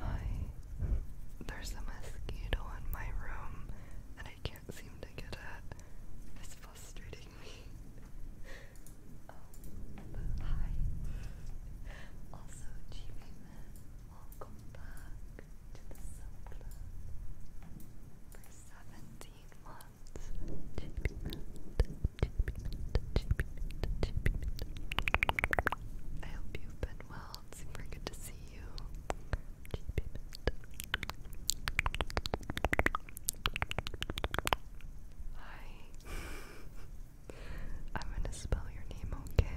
Hi. There's a mosquito in my room and I can't seem to get it. It's frustrating me. hi. Also, Jimmy welcome back to the Sub For 17 months, Jimmy Man, Jimmy Man, Jimmy Man, Jimmy Man. I hope you've been well it's super good to see you. Hi. I'm gonna spell your name, okay?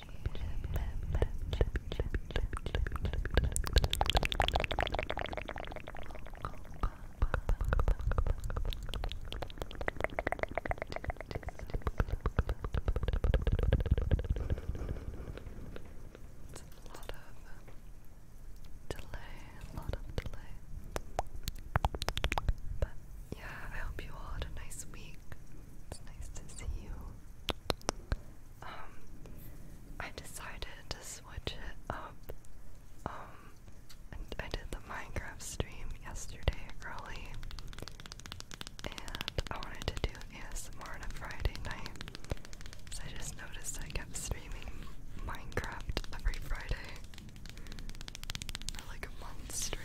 it's a lot of um, delay, a lot of delay. But yeah, I hope you all had a nice week. It's nice to see you. Um, I decided to switch it up, um, I did the Minecraft stream yesterday early, and I wanted to do ASMR on a Friday night, so I just noticed I kept streaming Minecraft every Friday for like a month straight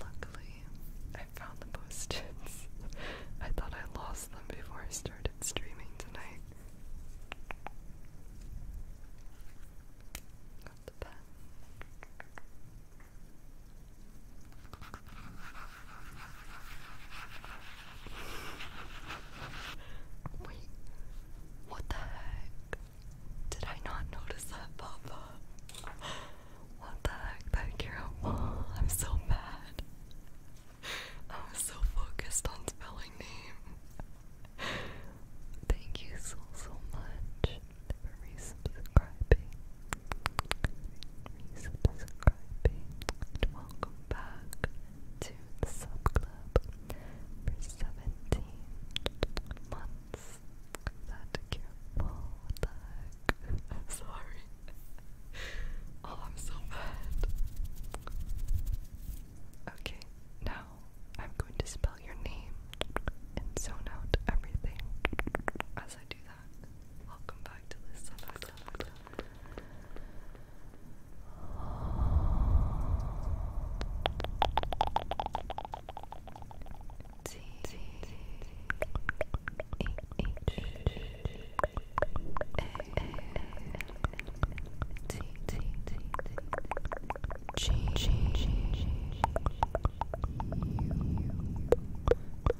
Luckily, I found the post I thought I lost them before I started streaming tonight. Got the pen. Wait, what the heck? Did I not notice that pop What the heck, that Carol I'm so bad. I was so focused on spelling name. Thank you so so much for resubscribing subscribing, and welcome back to the sub club for 17 months. That careful, I'm sorry. Oh, I'm so bad. Okay, now I'm going to spell your name and zone out everything as I do that. Welcome back to listen back to that. T T H T T G G G G U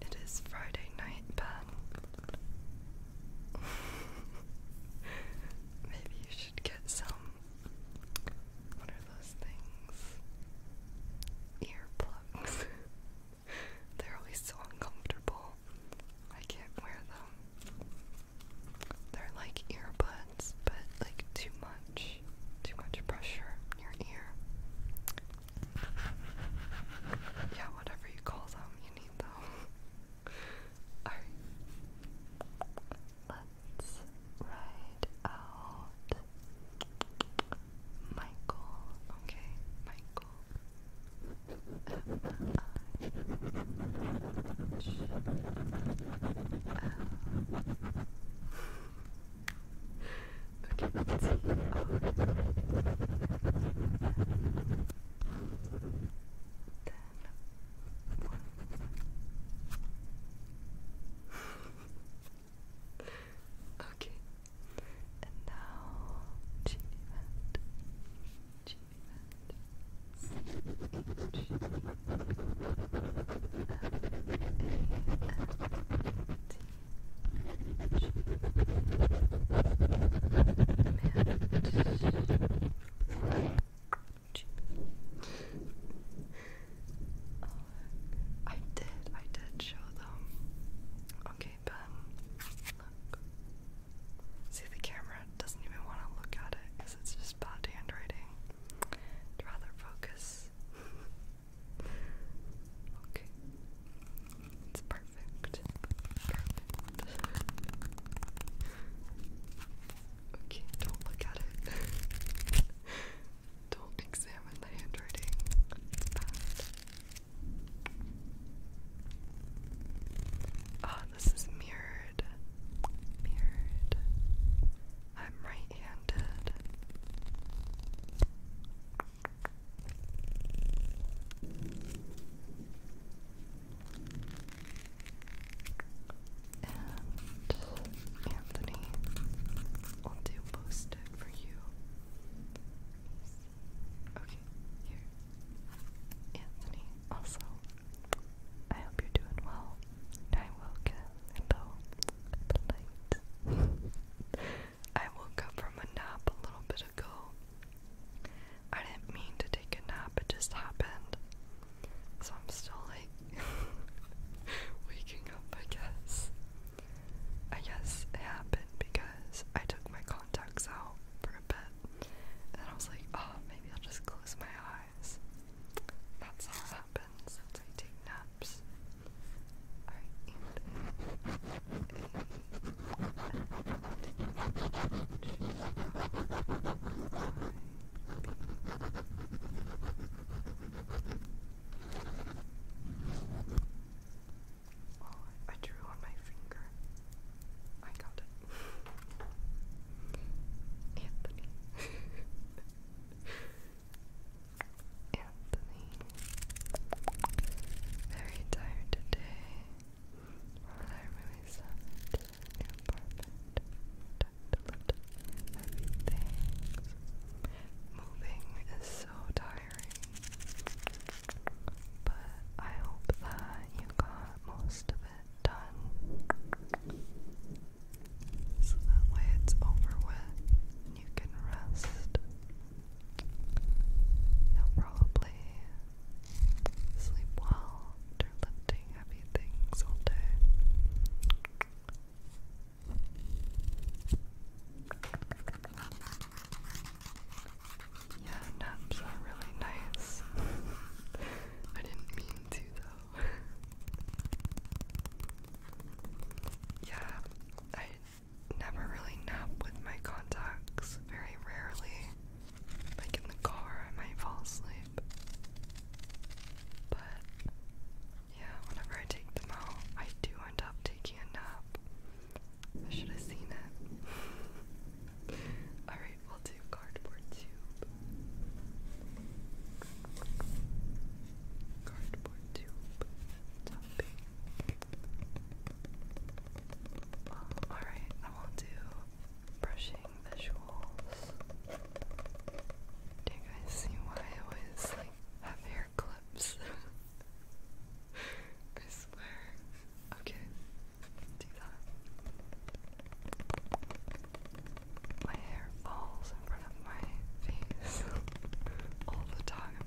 it is Friday night, Ben. maybe you should get some. What are those things? Earplugs. They're always so uncomfortable. I can't wear them. They're like earbuds, but like too much, too much pressure in your ear. Yeah, whatever you call them, you need them. Alright. Let's write out Michael. Okay, Michael. M I H L. Okay, let's see. Oh. Then one. okay. And now Genie Mat. Genie Mat. Mat. I did, I did show them. Okay, Ben, See, the camera doesn't even want to look at it because it's just bad handwriting. I'd focus. okay. It's perfect. Perfect. Okay, don't look at it. don't examine the handwriting. It's ah, this is mirrored. Mirrored. I'm right handed. And Anthony will do post it for you. Okay, here. Anthony, also, I hope you're doing well. I woke up about midnight. I woke up from a nap a little bit ago. I didn't mean to take a nap, it just happened. So I'm still like waking up, I guess. I guess it happened because I took my contacts out for a bit and I was like, oh, maybe I'll just close my eyes. That's how it happens. That's how take naps. Alright. Oh, I drew on my finger. I got it. Anthony. Anthony. Very tired today. i really sad your apartment, tucked everything. Moving is so tiring, but I hope that you got most of it done. So that way it's over with and you can rest. You'll probably sleep well after lifting happy things all day. Yeah, naps are really nice. I didn't mean to though. yeah, I never really nap with my contacts, very rarely. Like in the car, I might fall asleep. But yeah, whenever I take them out, I do end up taking a nap. I should have seen it. Alright, we'll do cardboard tube. Cardboard tube alright, I will do brushing do you guys see why I always like have clips? I swear. Okay, My hair falls in front of my face all the time.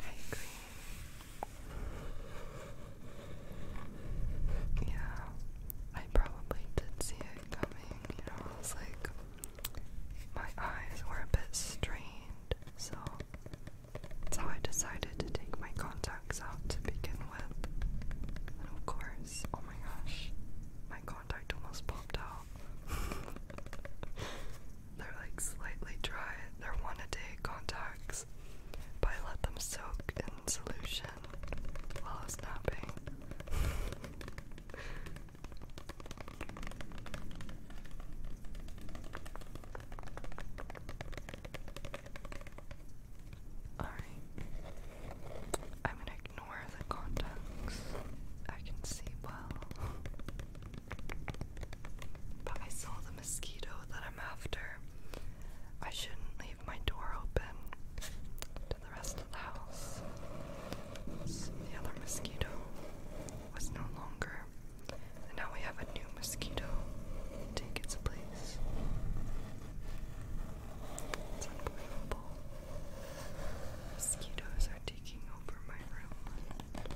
I agree. Yeah, I probably did see it coming, you know, I was like, my eyes were a bit strained, so so I decided to take my contacts out to begin with. And of course, oh my gosh, my contact almost popped out. They're like slightly dry, they're one a day contacts, but I let them soak in solution while I was napping. Alright. I'm gonna ignore the contacts. I can see well. But I saw the mosquito that I'm after. I shouldn't leave my door open to the rest of the house. the other mosquito was no longer and now we have a new mosquito take its place. It's unbelievable. Mosquitoes are taking over my room.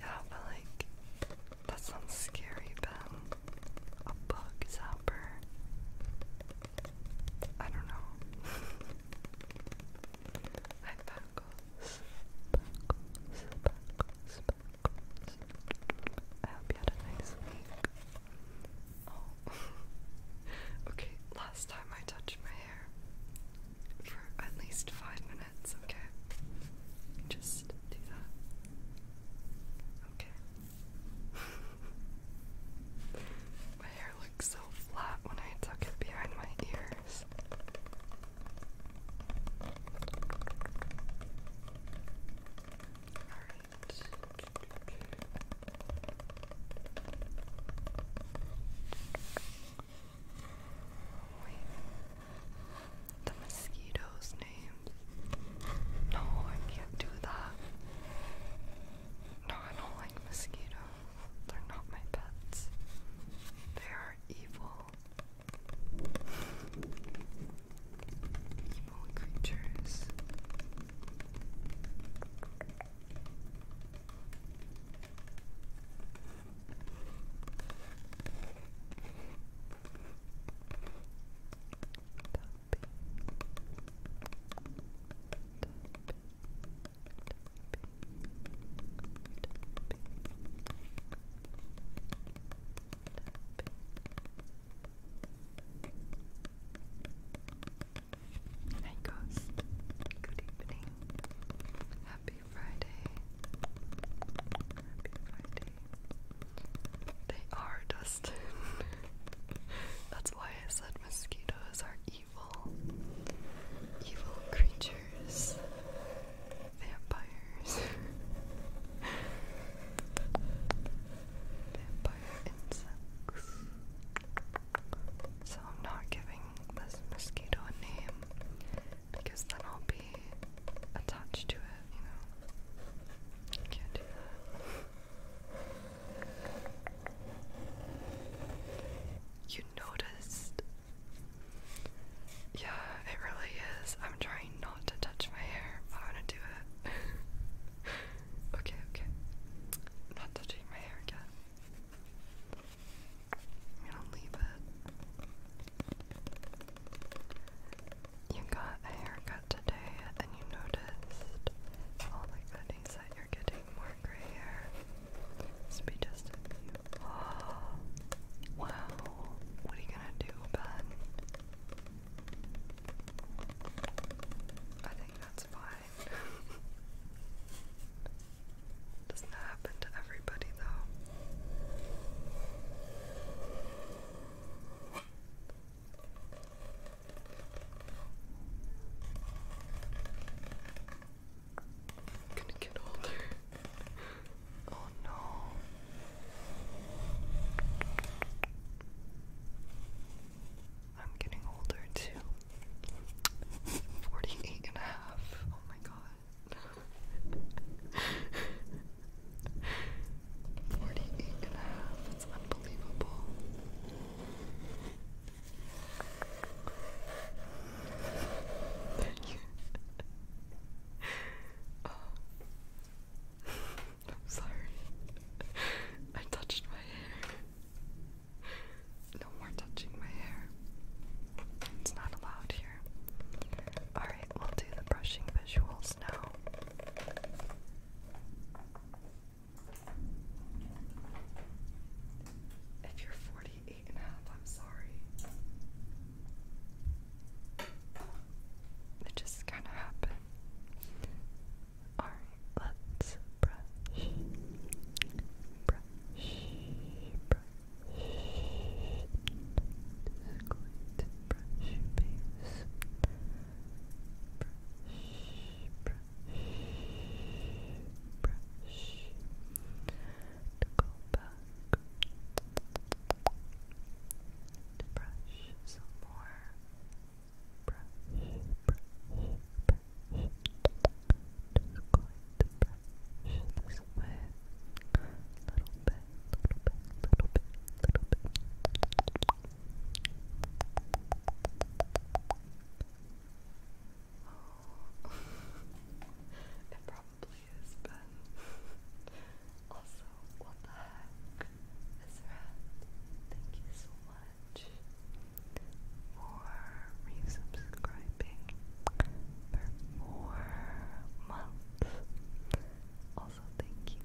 Yeah, but like that sounds scary, Ben. A bug zapper. I don't know. I buckles. Buckles, buckles, buckles. I hope you had a nice week. Oh. okay, last time I touched my hair. For at least five minutes, okay? Just do that. Okay. my hair looks so flat when I tuck it behind my ears. Alright. Wait the mosquitoes' names. No, I can't do that. No, I don't like mosquitoes. They're not my pets. They are evil. Evil creatures. Hey Ghost, good evening. Happy Friday. Happy Friday. They are, dust. That's why I said mosquitoes are evil. Evil creatures. Vampires. Vampire insects. So I'm not giving this mosquito a name because then I'll be attached to it, you know? Can't do you noticed? Yeah, it really is. I'm trying not to touch my hair, I'm to do it. okay, okay. not touching my hair again. I'm gonna leave it you got a haircut today and you noticed all the goodies that you're getting more gray hair. This be just Oh, wow. What are you gonna do, Ben? I think that's fine. Doesn't happen to everybody though. Gonna get older. oh no. I'm getting older too. 48 Oh my god. Forty-eight and a half. It's unbelievable. Thank you. oh. I'm sorry. I touched my hair. No more touching my hair. It's not allowed here. Alright, we'll do the brushing visual if you're 48 I'm sorry. It just kind of happened. Alright, let's brush. Brush. Brush. I'm going to brush brush to go back to brush some more brush, brush, brush just going to brush this little bit, little bit, little bit, little bit it probably is, but also, what the heck? Ezra, thank you so much for resubscribing for months. Also, thank you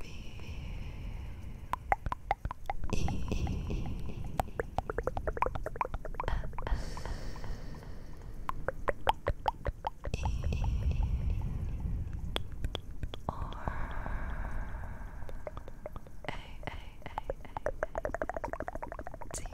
B E S E or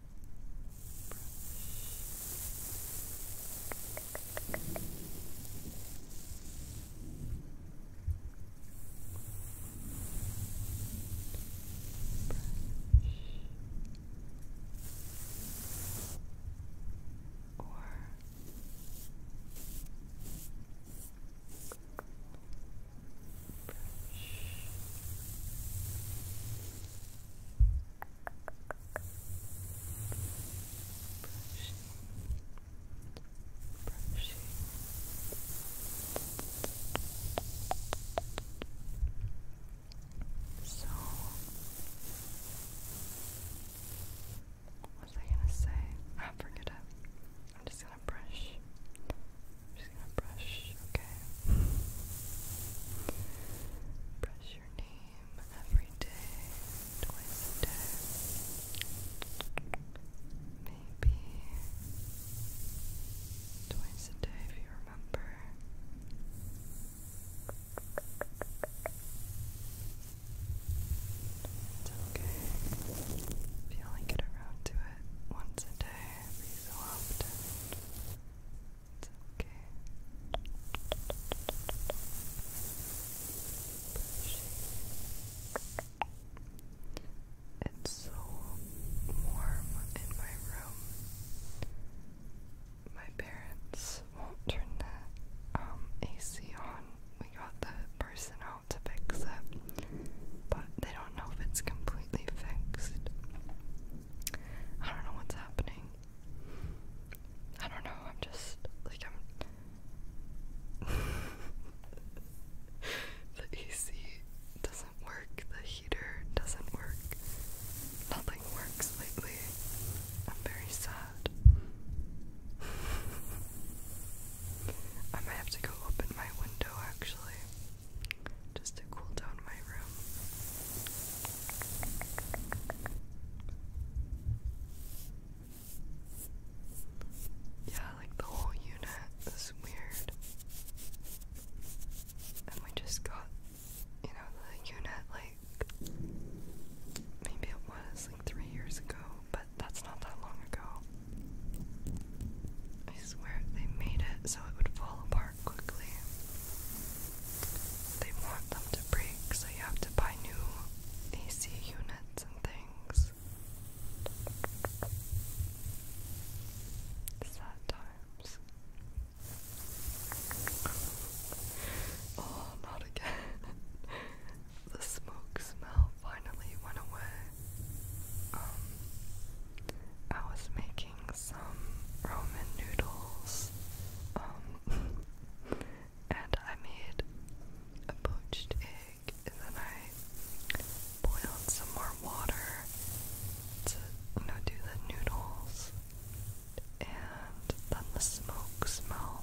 or Brush brushing, So, what was I gonna say? Ah, forget it. I'm just gonna brush. just gonna brush, okay? Brush, your every day, twice a day. Maybe twice a day if you remember. It's okay if you only get around to it once a day every so often. It's so warm in my room. My parents won't turn the um, AC on. We got the person out to fix it, but they don't know if it's completely fixed. I don't know what's happening. I don't know, I'm just like I'm the AC doesn't work, the heater doesn't work, nothing works lately. I'm very sad. I might have to go open my window actually, just to cool down my room. Yeah, like the whole unit is weird. And we just got, you know, the unit like maybe it was like three years ago, but that's not that long ago. I swear they made it so it would fall apart quickly. They want them to break, so you have to buy new AC units and things. Sad times. Oh, not again. the smoke smell finally went away. Um, I was making some ramen noodles, um, and I made a poached egg, and then I boiled some more water to, do the noodles, and then the smoke smell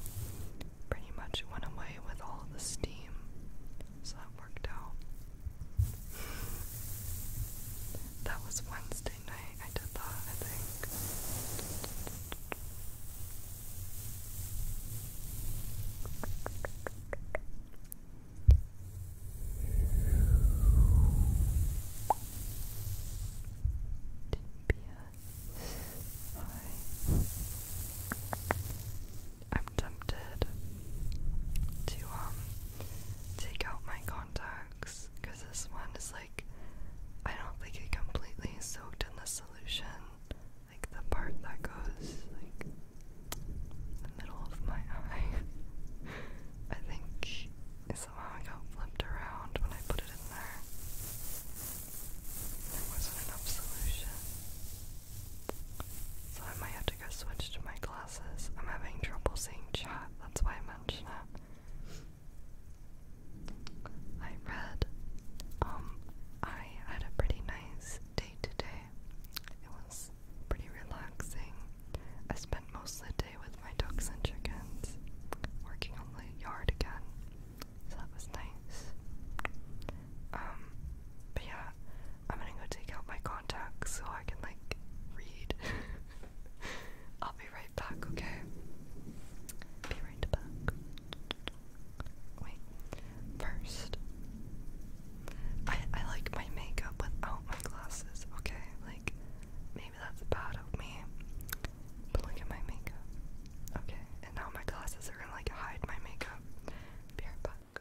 pretty much went away with all the steam, so that worked out. that was Wednesday. I? did that, I think. I'm tempted to um take out my contacts because this one is like like I don't think it completely soaked in the solution. Like the part that goes like the middle of my eye. I think it somehow got flipped around when I put it in there. There wasn't enough solution. So I might have to go switch to my glasses. I'm having trouble seeing chat, that's why I mention it. I read, um, I had a pretty nice day today. It was pretty relaxing. I spent most of the day with my ducks and chickens, working on the yard again, that was nice. Um, but yeah, I'm gonna go take out my contacts so I can like read. I'll be right back, okay? Be right back. Wait. First, I I like my makeup without my glasses, okay? Like maybe that's bad of me. But look at my makeup. Okay, and now my glasses are gonna like hide my makeup. Be right back.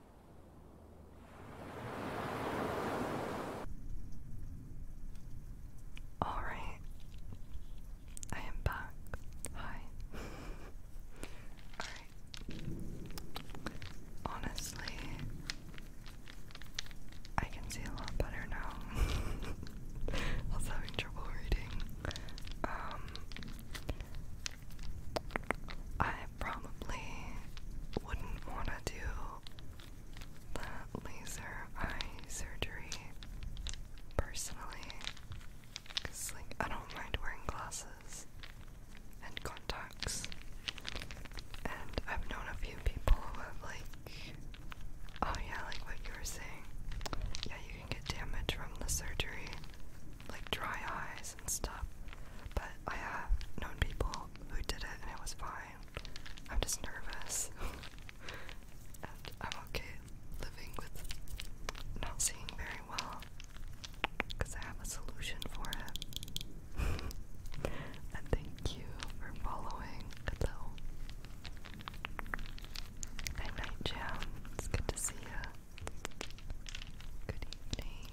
Alright, I am back. Hi. Alright. Honestly, I can see a lot better now. I was having trouble reading. Um, I probably wouldn't want to do the laser eye surgery personally like I don't mind wearing glasses and contacts and I've known a few people who have like oh yeah like what you were saying yeah you can get damage from the surgery like dry eyes and stuff. But I have known people who did it and it was fine. I'm just nervous. I'm okay living with not seeing very well because I have a solution for it. and thank you for following. Hello. Night night, It's good to see you. Good evening.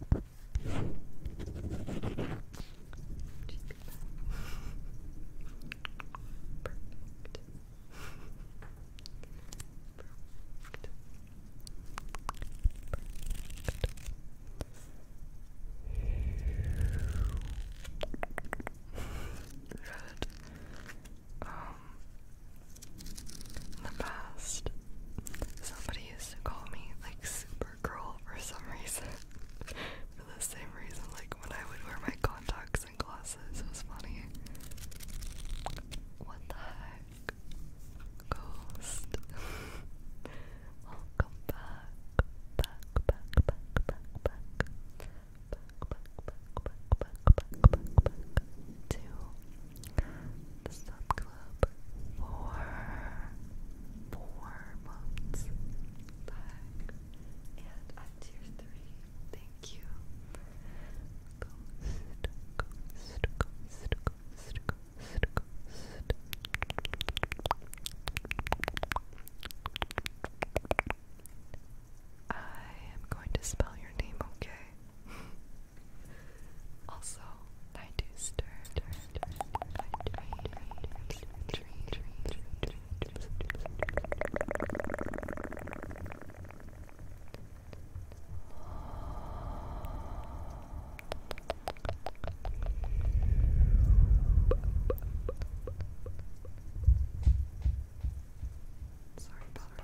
Perfect. Perfect. Perfect. Good. Um, in the past, somebody used to call me like Supergirl for some reason. for the same reason, like when I would wear my contacts and glasses, it was funny. What the heck? Ghost. Welcome back. Back, back, back, back, back. Back, back, back, back, back, back, back, back. To sub club for four months and i tier three. Thank you, I am going to spell your name, okay? Also, I do stir, stir, stir, Sorry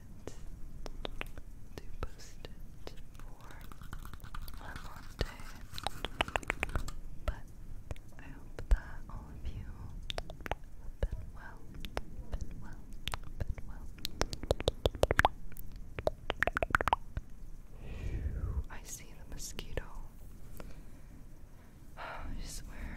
to post it for one long day. But I hope that all of you have been well, been well, been well. I see the mosquito. I swear.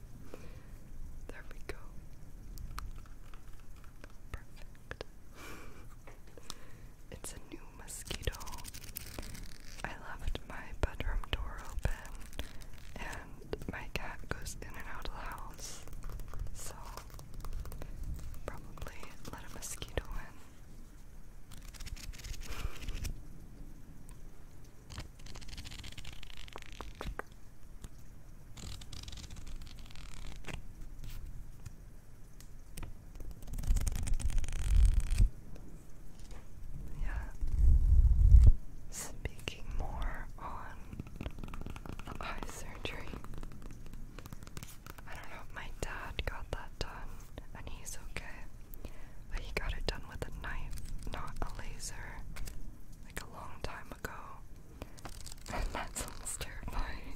There we go. Perfect. it's a new mosquito. I left my bedroom door open and my cat goes in and out of the house. So probably let a mosquito in. Yeah. Speaking more on eye surgery. I don't know my dad got that done and he's okay. But he got it done with a knife, not a laser, like a long time ago. And that sounds terrifying.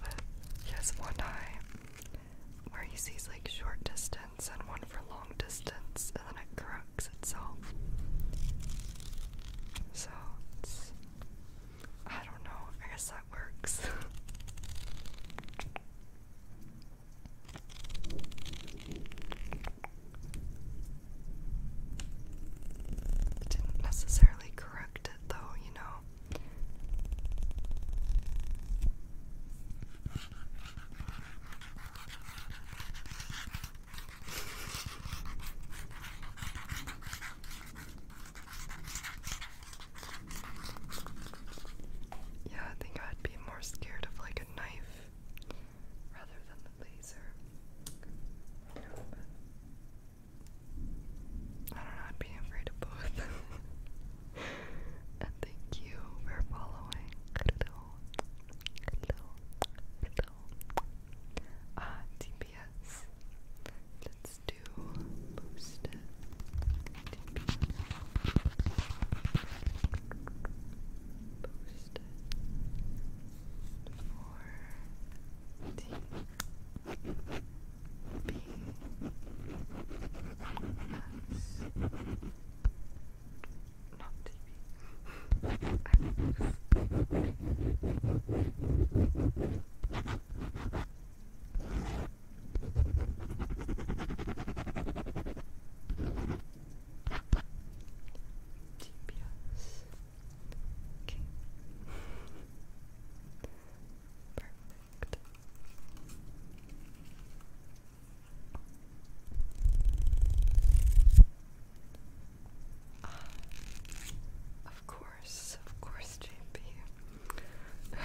but he has one eye where he sees like short distance and one for long distance, and then it corrects itself. So I don't know, I guess that works. It didn't necessarily correct it, though, you know. Yeah, I think I'd be more scared of like a knife rather than the laser. I don't know, I'd be afraid of both. and thank you for following. Hello. Hello. Hello. Ah, TPS. Let's do Boost. T GPS. Perfect. of course, of course, JP.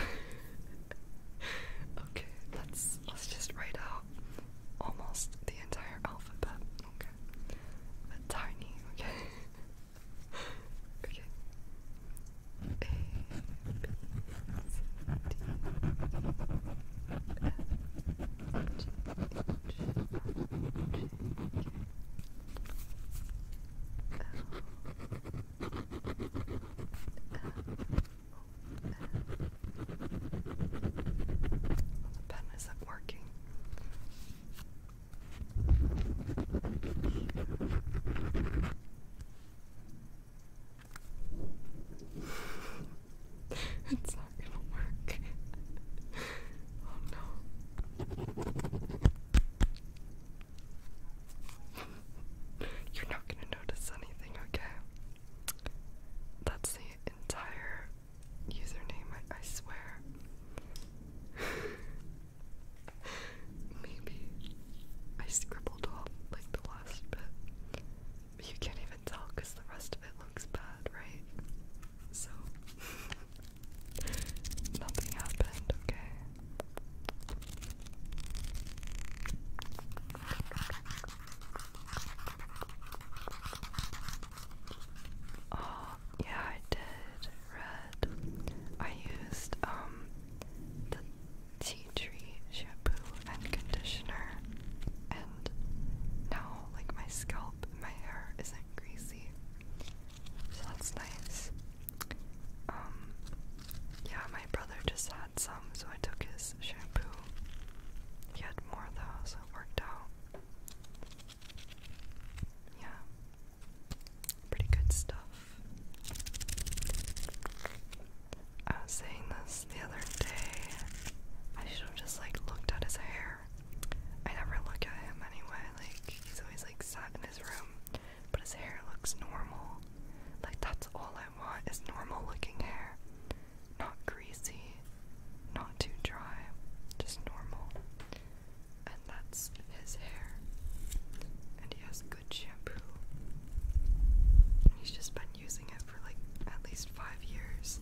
okay, let's let's just write out almost the the entire alphabet, okay? tiny, okay? okay. A, B, C, D, E, F, G, H, I, J, K, L, M, N, O, P, Q, R, S, T, U, V, W, the pen isn't working. it's not gonna work. oh no. You're not gonna notice anything, okay? That's the entire username, I, I swear. Maybe I scribbled off like the last bit. you can't even tell because the rest of it looks bad, right? So, nothing happened, okay? Oh, yeah, I did red. I used um the tea tree shampoo and conditioner and now like my scalp and my hair isn't greasy. So that's nice. Um yeah, my brother just had some so I took his shampoo he more of those, worked out. Yeah. Pretty good stuff. I was saying this the other day. I should have just like looked at his hair. I never look at him anyway, like he's always like sat in his room. But his hair looks normal. Like that's all I want is normal looking hair. Not greasy, not too dry, just normal. And that's his hair. And he has good shampoo. he's just been using it for like at least five years.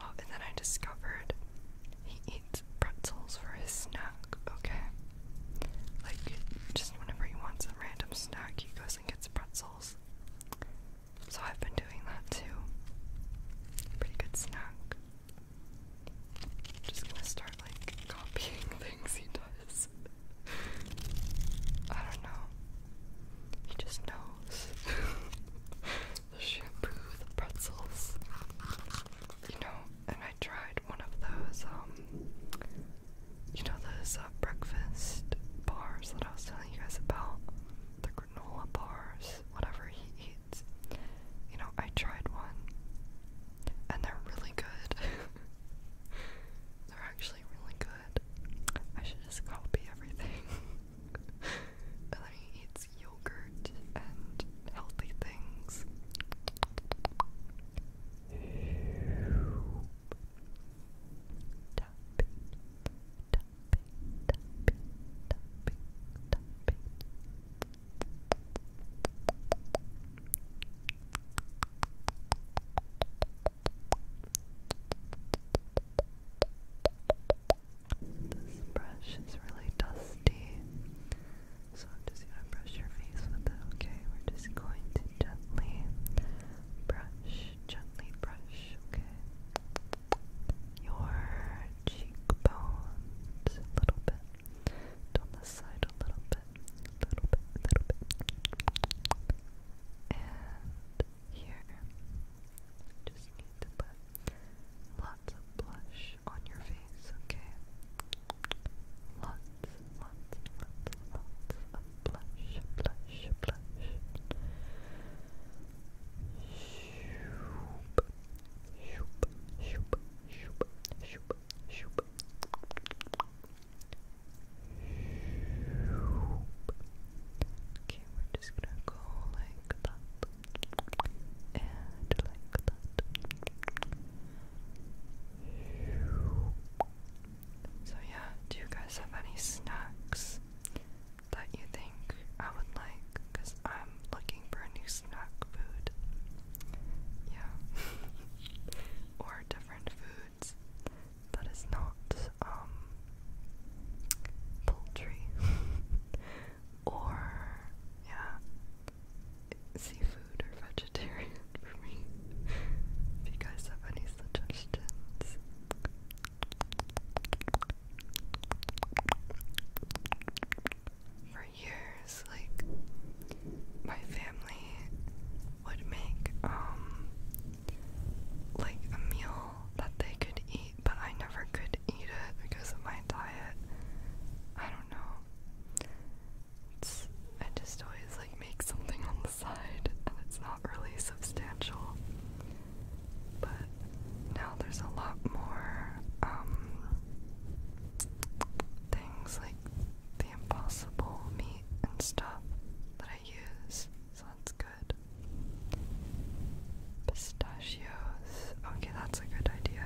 Oh, and then I discovered he eats pretzels for his snack, okay? Like, just whenever he wants a random snack, he goes and gets a pretzel. So I've been doing that too. Pretty good snack. Just gonna start like copying things he does. I don't know. He just knows. the shampoo, the pretzels. You know, and I tried one of those, um, you know those uh, breakfast bars that I was telling you guys about? The granola bars, whatever he eats. You know, I tried one and they're really good. they're actually really good. I should just copy everything. then he eats yogurt and healthy things. This brush is really dusty, so I'm just going to brush your face with it, okay? We're just going to gently brush, gently brush, okay? Your cheekbones a little bit, down the side a little bit, little bit, little bit. And here, just need to put lots of blush on your face, okay? Lots, lots, lots, lots blush, blush, blush. Shoop, shoop, shoop, shoop, shoop, shoop. Okay, we're just gonna go like that and like that. So, yeah, do you guys have any snacks that you think I would like? Because I'm looking for a new snack food. Yeah. or different foods that is not, um, poultry. or, yeah, seafood or vegetarian for me. if you guys have any suggestions, for years, like my family would make um like a meal that they could eat, but I never could eat it because of my diet. I don't know. I just always like make something on the side and it's really substantial. But now there's a lot more um, things like the impossible meat and stuff that I use, so that's good. Pistachios. Okay, that's a good idea.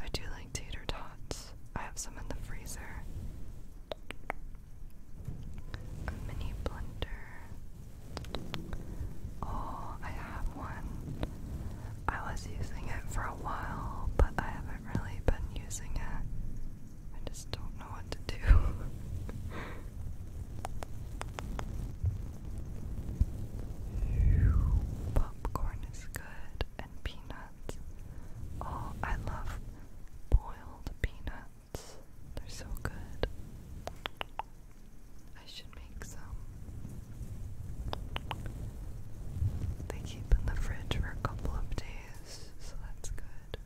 I do like tater tots. I have some in the freezer mini blender. Oh, I have one. I was using it for a while, but I haven't really been using it. I just don't know what to do. Popcorn is good and peanuts. Oh, I love boiled peanuts. They're so good. I should make some. They keep in the fridge for a couple of days, so that's good.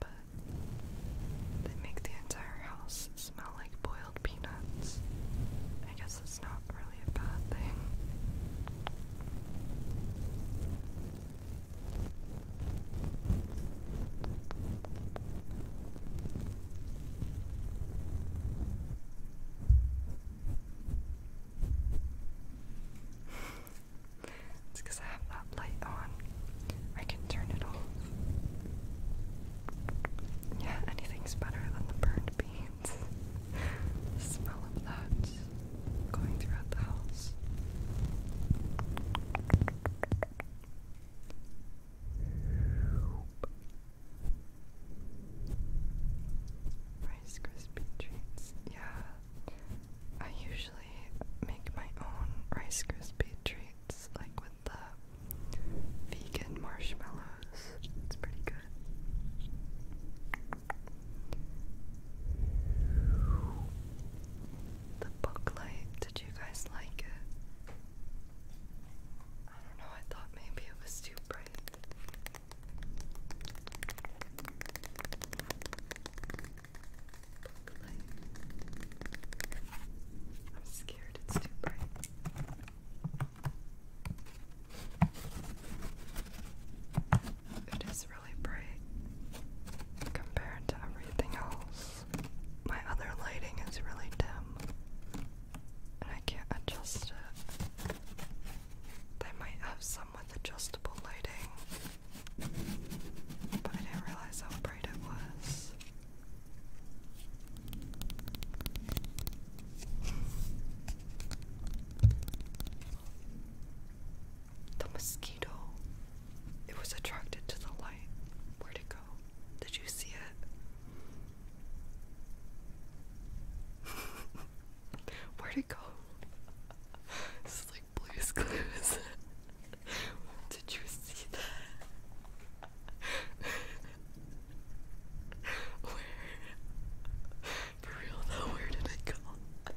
But they make the entire house smell like boiled peanuts. I guess it's not really a bad thing it's because I have that light on. I can turn it off. Yeah, anything's better than the burned beans. smell of that going throughout the house. Rice Krispie treats. Yeah, I usually make my own Rice Krispie treats, like with the vegan marshmallows. It's pretty good. The book did you guys like it? I don't know, I thought maybe it was too bright. Book I'm scared it's too bright. It is really bright compared to everything else. My other lighting is really dim, and I can't adjust it. They might have some with adjustable lighting, but I didn't realize how bright it was. The mosquito. It was attracted to the light. Where'd it go? Did you see it? Where'd it go? This is like Blue's Clues. Did you see that? Where? For real though, where did it go?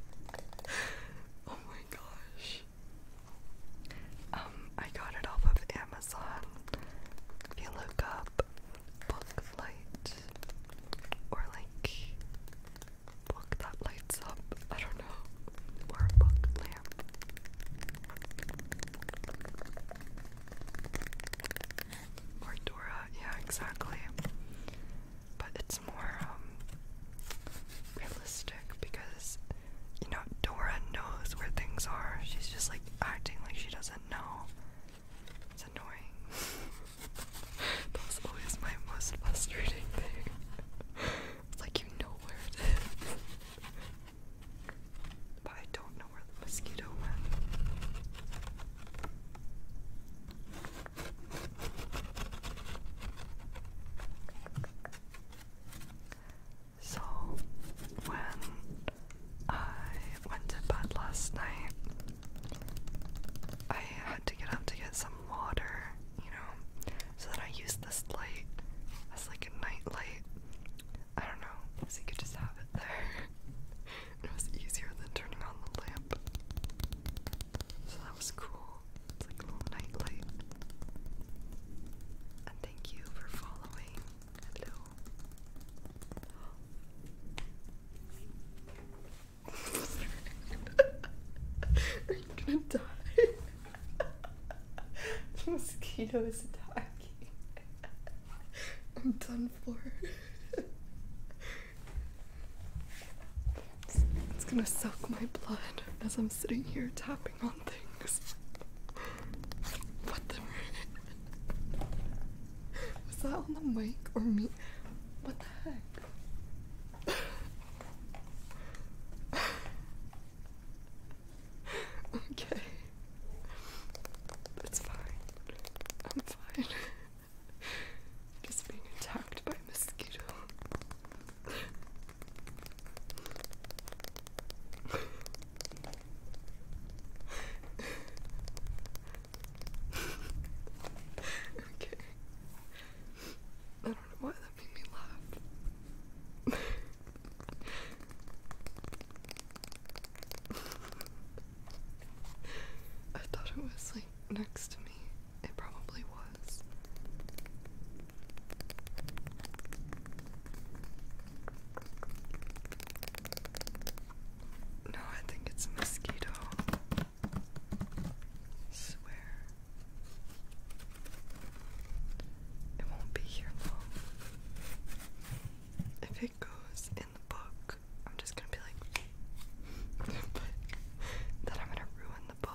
oh my gosh. Um, I got it off of Amazon. If you look up book light or like book that lights up, I don't know, or book lamp. Or Dora, yeah, exactly but it's more um, realistic because you know Dora knows where things are. She's just like acting like she doesn't know. It's annoying. That's always my most frustrating thing. it's like you know where it is. but I don't know where the mosquito went. So, when I went to bed last night, I had to get up to get some water, you know, so then I used this light as like a night light. I don't know, so you could just have it there. it was easier than turning on the lamp. So that was cool. It's like a little nightlight. And thank you for following. Hello. Are you gonna die? the attacking. I'm done for. It's, gonna soak my blood as I'm sitting here tapping on things. What the? Was that on the mic or me? What the heck? okay. It's fine. I'm fine. Just being attacked by mosquito. okay. I don't know why that made me laugh. I thought it was like next to me. It probably was. No, I think it's a mosquito. Swear. It won't be here long. If it goes in the book, I'm just gonna be like, but I'm gonna ruin the book.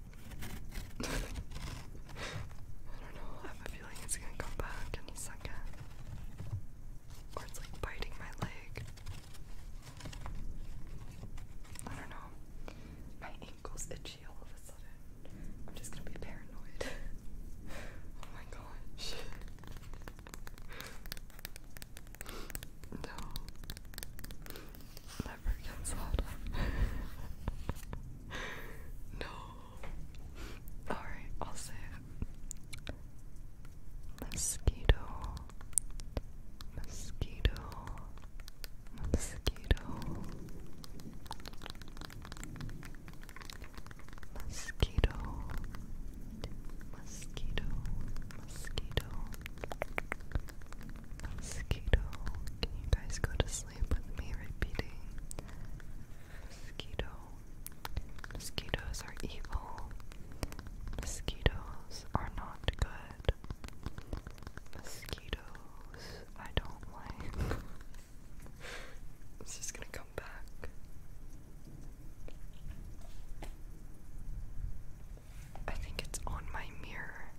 I don't know, I have a feeling it's gonna come back any second. Or it's like biting my leg. I don't know. My ankle's itchy all of a sudden. I'm just gonna be paranoid. oh my gosh. no. Never gets out. no, Alright, also mosquito, mosquito, mosquito, mosquito, mosquito, mosquito, mosquito. Can you guys go to sleep? sleep with me repeating mosquito. Mosquitoes are evil. Mosquitoes are not good. Mosquitoes I don't like. it's just gonna come back. I think it's on my mirror.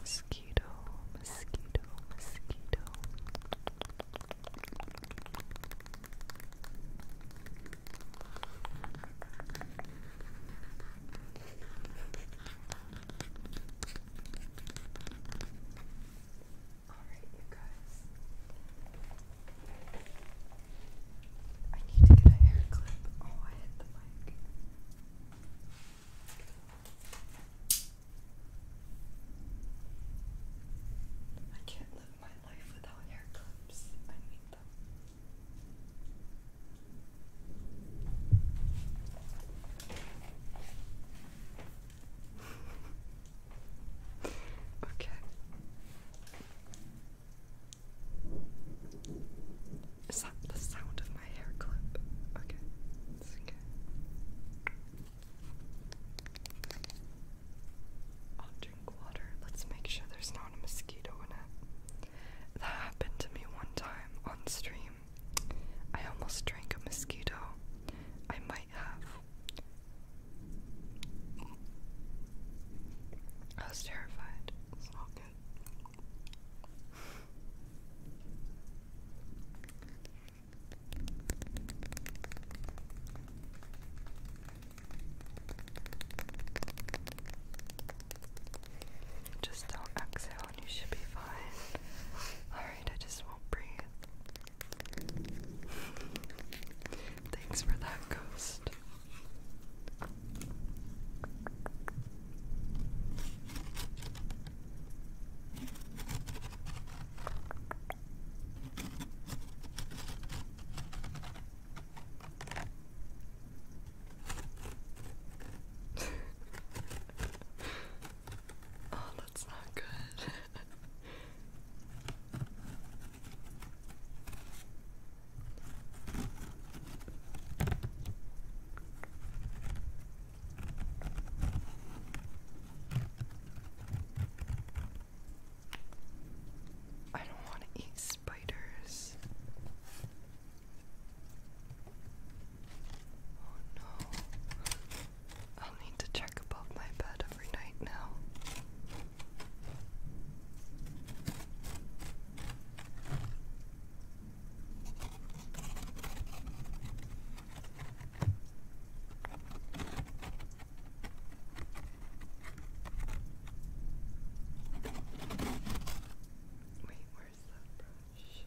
Mosquito, mosquito, mosquito. All right, you guys. I need to get a hair clip. Oh, I hit the mic. I can't live my life without hair clips. I need them. Okay. Is that the sound of my hair clip? Okay. okay. I'll drink water. Let's make sure there's not a mosquito in it. That happened to me one time on stream. I almost drank a mosquito. I might have I was terrified. Just don't exhale and you should be fine. Alright, I just won't breathe. Thanks for that, Ghost. oh, that's not good. I don't want to eat spiders. Oh no. I'll need to check above my bed every night now. Wait, where's that brush?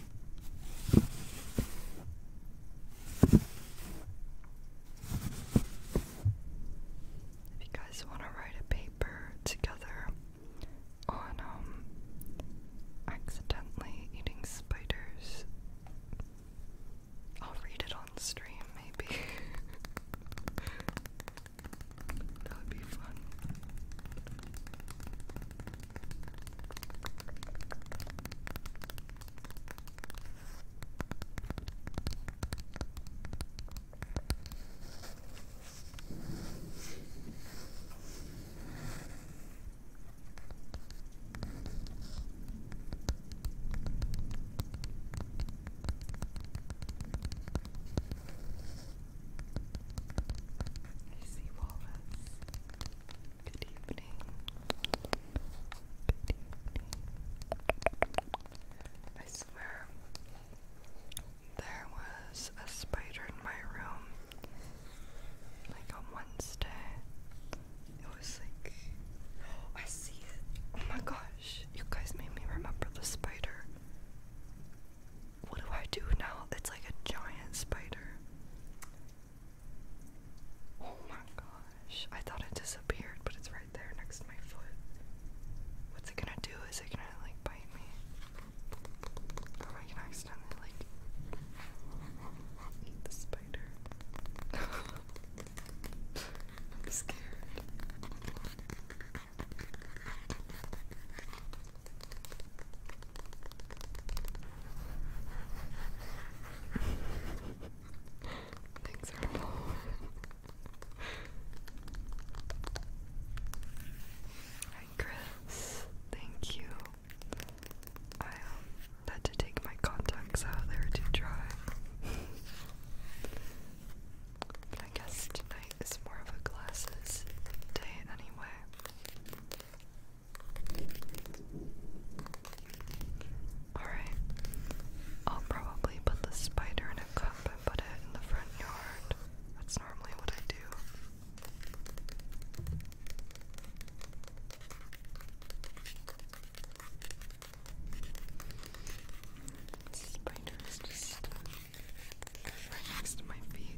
If you guys want to write a paper together on um, accidentally eating spiders, I'll read it on stream maybe. that would be fun. I see walrus. Good evening. I swear, there was a spider in my room like on Wednesday. It was like, I see it. Oh my gosh, you guys made me remember the spider. What do I do now? It's like a giant spider. Oh my gosh. I thought it disappeared, but it's right there next to my foot. What's it gonna do? Is it gonna like bite me? am I gonna accidentally like eat the spider? I'm scared. Thanks Chris, thank you. I um, had to take my contacts out, they were too dry. I guess tonight is more of a glasses day anyway. Alright. I'll probably put the spider in a cup and put it in the front yard. That's normally what I do. Spider is just right next to my feet.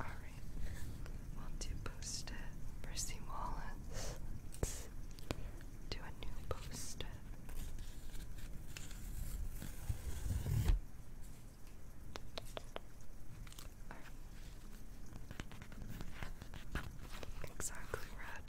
All right. We'll do post-it for Wallace. do a new post-it. Exactly red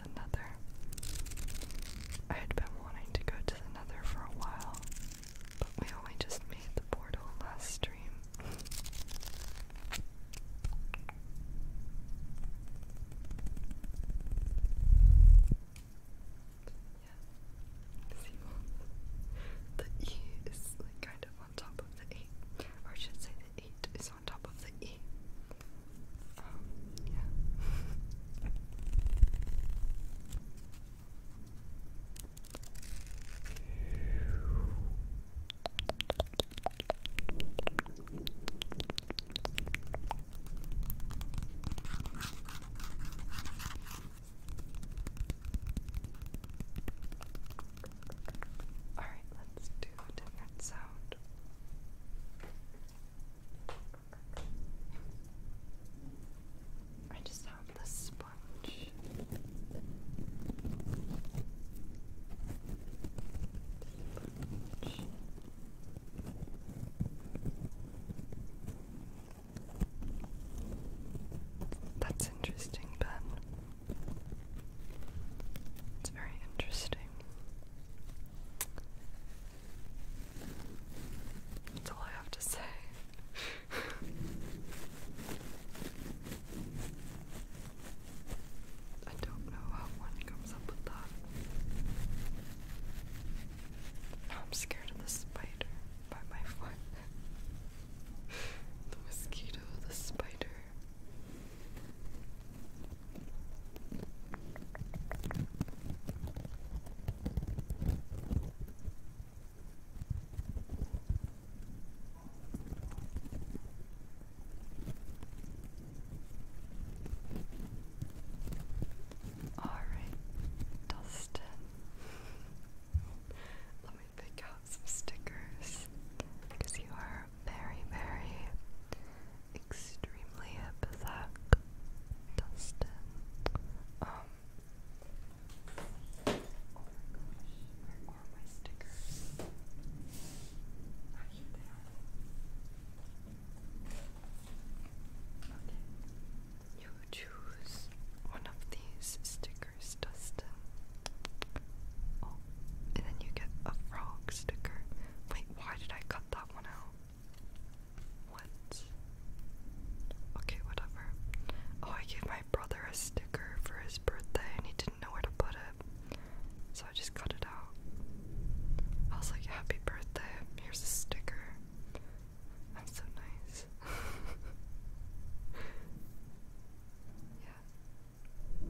the I had been wanting to go to the Nether for a while, but we only just made the portal last stream. Yeah. the E is kind of on top of the 8, or should say the 8 is is on um, All right, let's do a different sound. I just have the sponge. That's interesting, Ben. It's very interesting. That's all I have to say. I don't know how one comes up with that. I'm scared of the spider by my foot. the mosquito, the spider. Alright, Dustin. Let me pick out some stickers because you are very, very extremely epithetic, Dustin. Um, oh where are my stickers? You choose one of these stickers, Dustin. Oh, and then you get a frog sticker. Wait, why did I cut that one out? What? Okay, whatever. Oh, I gave my brother a sticker for his birthday and he did know where to put it. So I just cut it out. I was like, Happy birthday, here's a sticker. I'm so nice. yeah.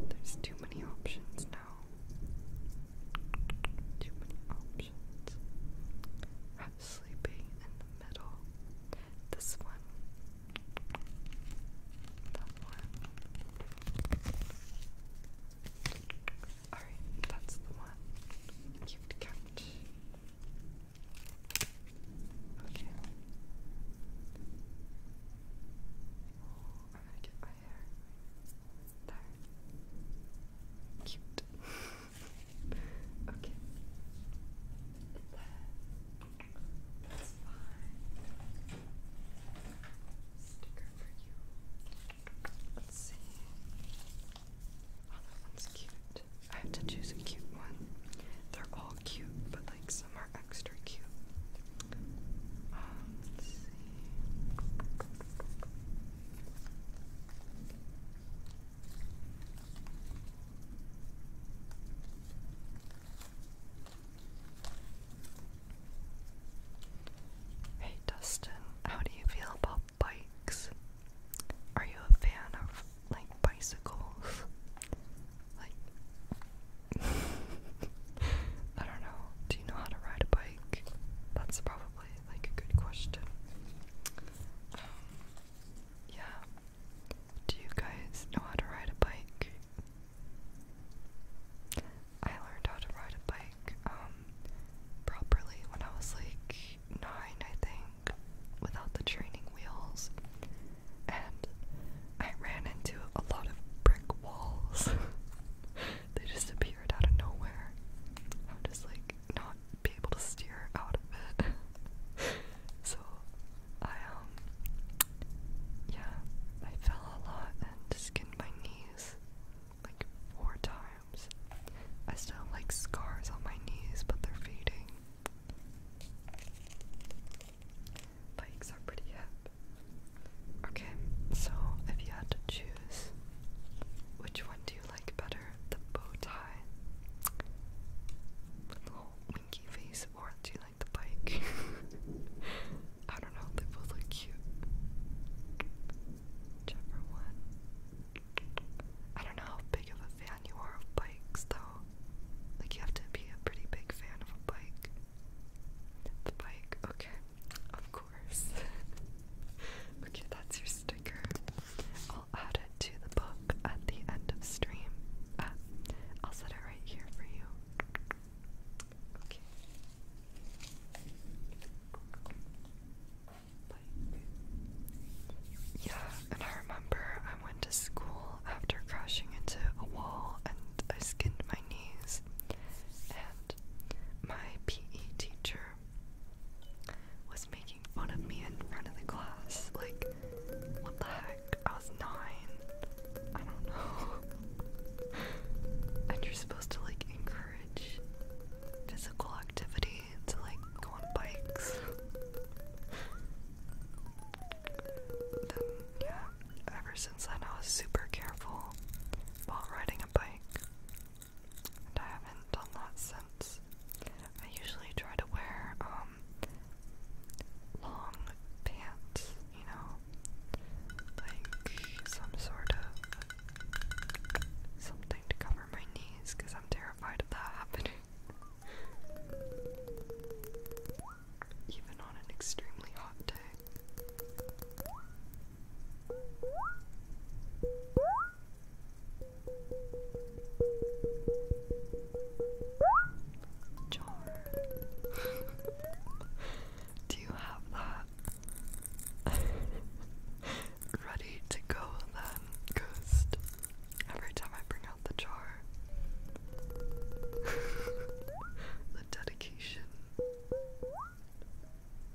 There's too many options now. Too many options. i sleeping in the middle. This one. That one. Alright, that's the one. Cute couch. Oh, I'm gonna get my hair. They're cute. okay. And then let's find sticker for you. Let's see. Oh, that one's cute. I have to choose a cute one. They're all cute, but like some are extra cute. let's see. Hey Dustin, how do you feel about bikes? Are you a fan of like bicycles? Like I don't know. Do you know how to ride a bike? That's probably like a good question. Um, yeah. Do you guys know how to ride a bike? I learned how to ride a bike um, properly when I was like nine, I think, without the training wheels. And I ran into a lot of brick walls. they just appeared out of nowhere. I'm just like not be able to steer out of it. so I um yeah, I fell a lot and skinned my knees like four times. I still have like scars on my knees, but they're fading. Bikes are pretty hip. Okay, so if you had to choose, which one do you like better? The bow tie, little winky face, or do you like the bike? I don't know, they both look cute. Whichever one. I don't know how big of a fan you are of bikes, though. Like, you have to be a pretty big fan of a bike. The bike, okay. Of okay, that's your sticker. I'll add it to the book at the end of stream. Uh, I'll set it right here for you. Okay. Yeah, and I remember I went to school after crashing into a wall and I skinned my knees. And my PE teacher was making fun of me in front of the class. Like, what the heck? I was nine. I don't know. and you're supposed to, like, encourage physical activity to, like, go on bikes. then, yeah, ever since then, I was super careful while riding a bike and I haven't done that since. I usually try to wear um, long pants, you know, like some sort of something to cover my knees because I'm terrified of that happening. Even on an extremely hot day. Jar. Do you have that? Ready to go then, ghost. Every time I bring out the jar. the dedication.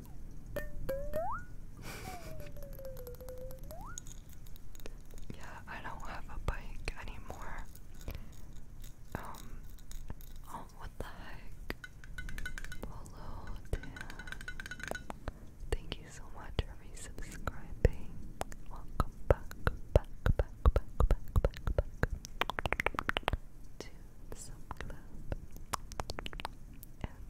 yeah, I don't have a bike anymore. Um, oh, what the heck? Hello, Dan. Thank you so much for resubscribing. Welcome back, back, back, back, back, back, back to the sub club.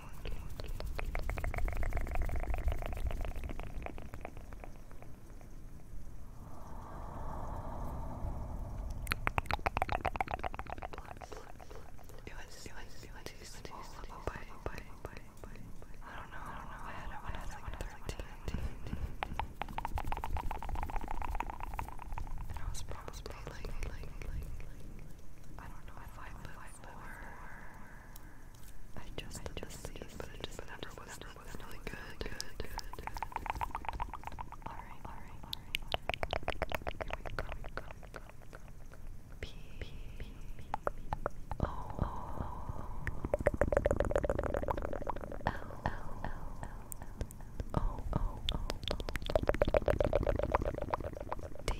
I was probably like, like, like, like, like, I don't know if I put four. I just I did just the but it just never was never was really good. good, good, good. Alright, alright, alright. Here we go, we go, we go, we go. P, P, P, P, O, O, L, L, L, L, O, O, O, O, D,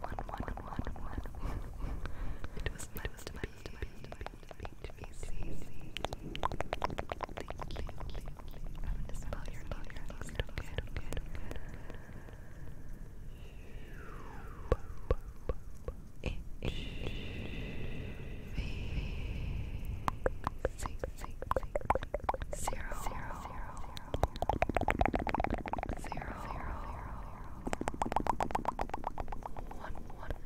one, one, one, one. It was my was my Zero, zero, zero, zero, zero, one, one, one.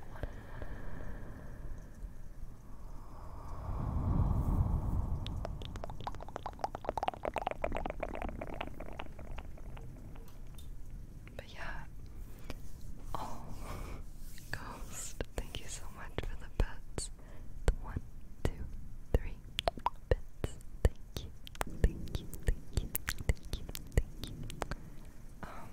But yeah, oh, Ghost, thank you so much for the pets. one, two, three, Thank you, thank you, thank you, thank you, thank you. Um,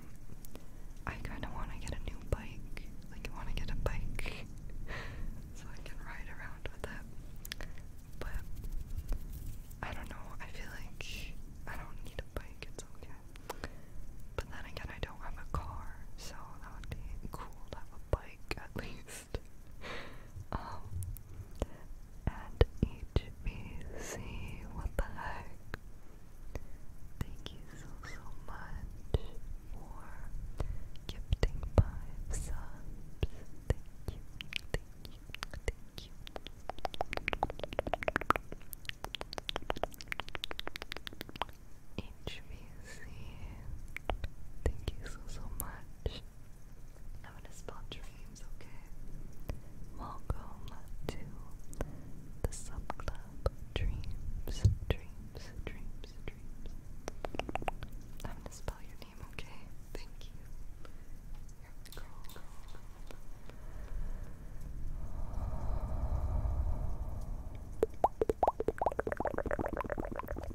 I kind of want to get a new bike. Like, I want to get a bike so I can ride around with it. But I don't know. I feel like I don't need a bike. It's okay. But then again, I don't have a car, so that would be cool to have a bike at least. Um, HBC, what the heck? Thank you so, so much for gifting five subs. Thank you, thank you, thank you. HBC, thank you so, so much. I'm gonna spell dreams, okay? Welcome to the subclub Dreams, Dreams, Dreams, Dreams. I'm gonna spell your name, okay? Thank you. Here we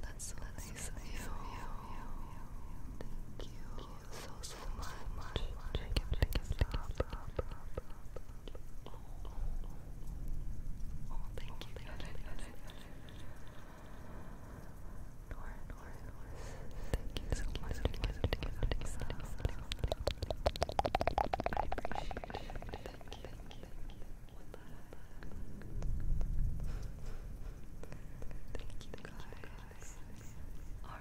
that's so nice Thank you so so much. Thank you. Oh, oh, oh. oh thank you, thank you, thank you. Thank you Thank you, thank you, thank you. Thank you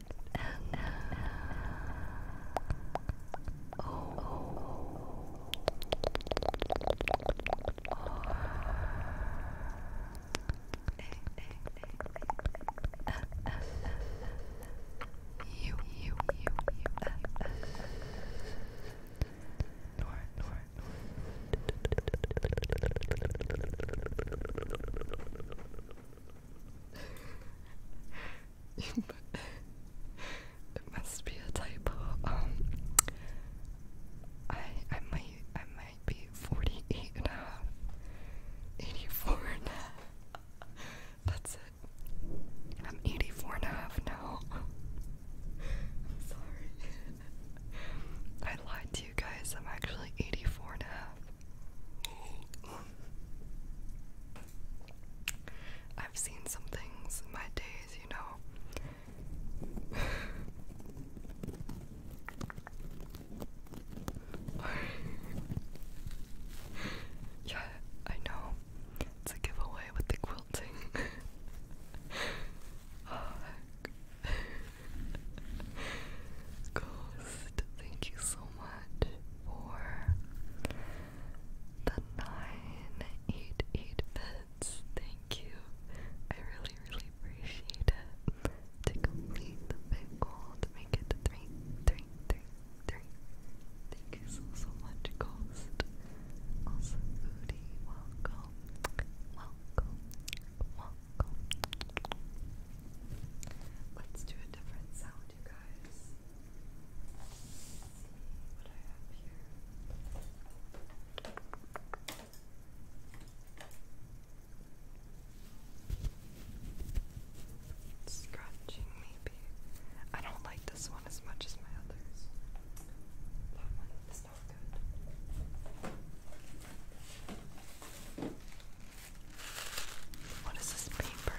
North, north, north. it must be a typo. Um, I I might I might be 48 That's it. I'm 84 now. I'm sorry. I lied to you guys. I'm actually 84 and a half. I've seen some things in my days, you know. yeah, I know. It's a giveaway with the quilting. Ghost, thank you so much for the nine eight eight bits. Thank you. I really, really appreciate it. To complete the big goal make it three, three, three, three. Thank you so so much, Ghost. Also, Booty, welcome, welcome, welcome. Let's do a different sound around you guys. see what I have here. Scratching, maybe. I don't like this one as much as my others. That one is not good. What is this paper?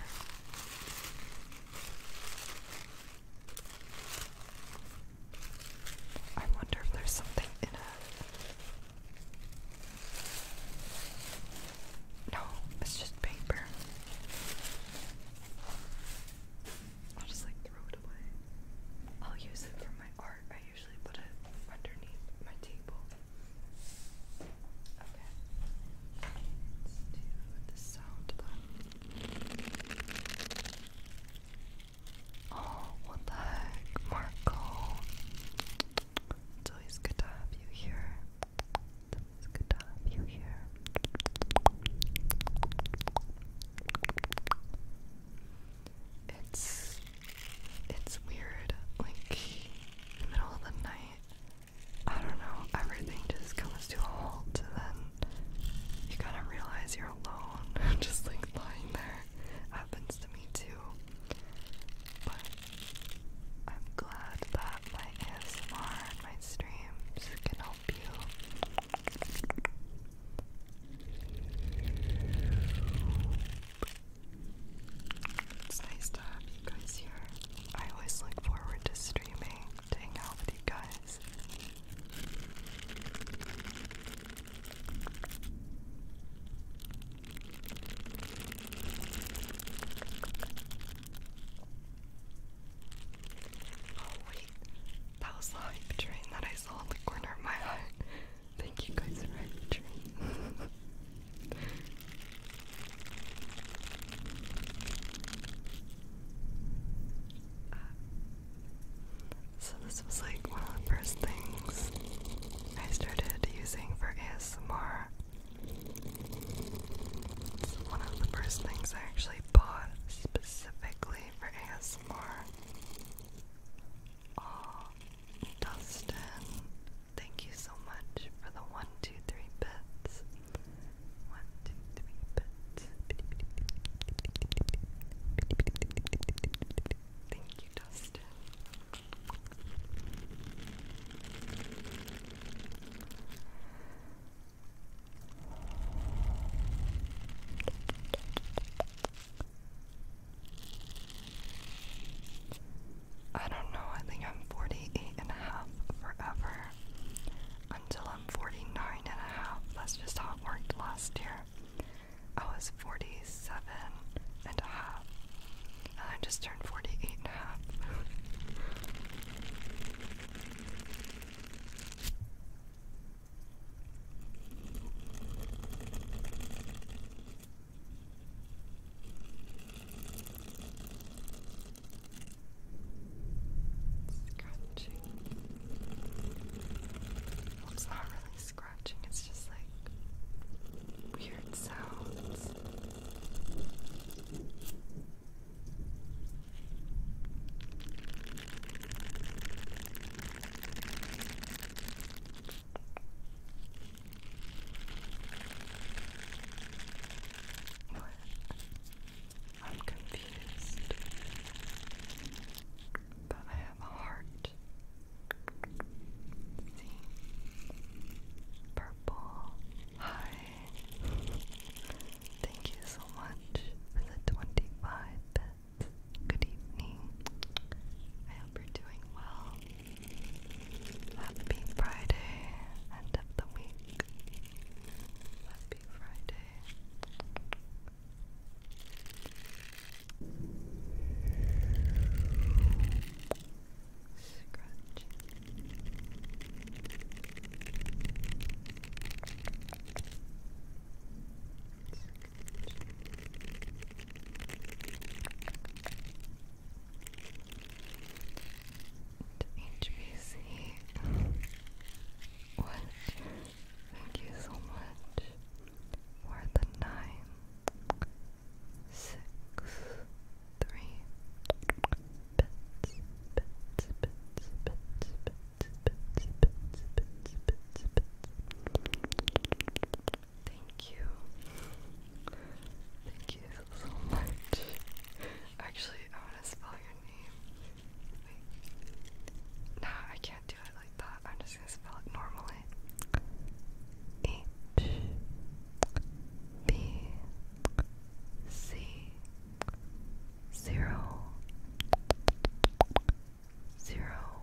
I wonder if there's something in it. No, it's just paper. I'll just like throw it away. I'll use it for my art. I usually put it underneath my table. Okay. Let's do the sound Oh, what the heck, Marco? It's always good to have you here. It's always good to have you here. It's it's weird, like in the middle of the night. I don't know, everything just comes to a halt, and then you kind of realize you're alone, just like lying there. Happens to me too. But I'm glad that my ASMR and my streams can help you. It's nice to have you guys here. I always look forward to streaming to hang out with you guys. Oh wait, that was the train that I saw in the corner of my eye. Thank you guys for hype train. Uh, so this was like one of the first things I started using for ASMR. It's one of the first things I actually bought specifically for ASMR. Oh, Dustin, thank you so much for the one, two, three bits. One, two, three, thank you, Dustin. I don't know, I think I'm 48 forever until I'm 49 and a half. That's just how it worked last year. I was 47 and a half, and I just turned 48 and a half. Scratching. it's not really scratching, it's just like weird sounds. What I'm confused, but I have a heart. See? Purple. Hi. Thank you so much for the 25 Good evening. I hope you're doing well. Happy Friday, end of the week. Happy Friday. Scratch. HBC. what? Thank you so much for the nine, six, three bits, bits, bits, bits, bits, bits, bits, bits, bits, bits. Thank you. Thank you so much. Actually, I want to spell your name. Nah, I can't do it like that. I'm just gonna spell it normally. H B C zero zero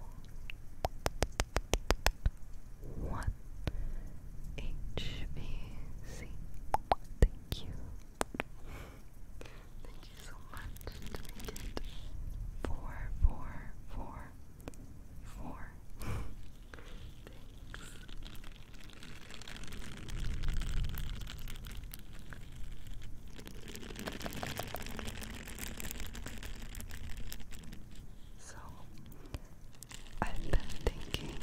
one H B C. Thank you. Thank you so much to make it four, four, four, four. So, I've been thinking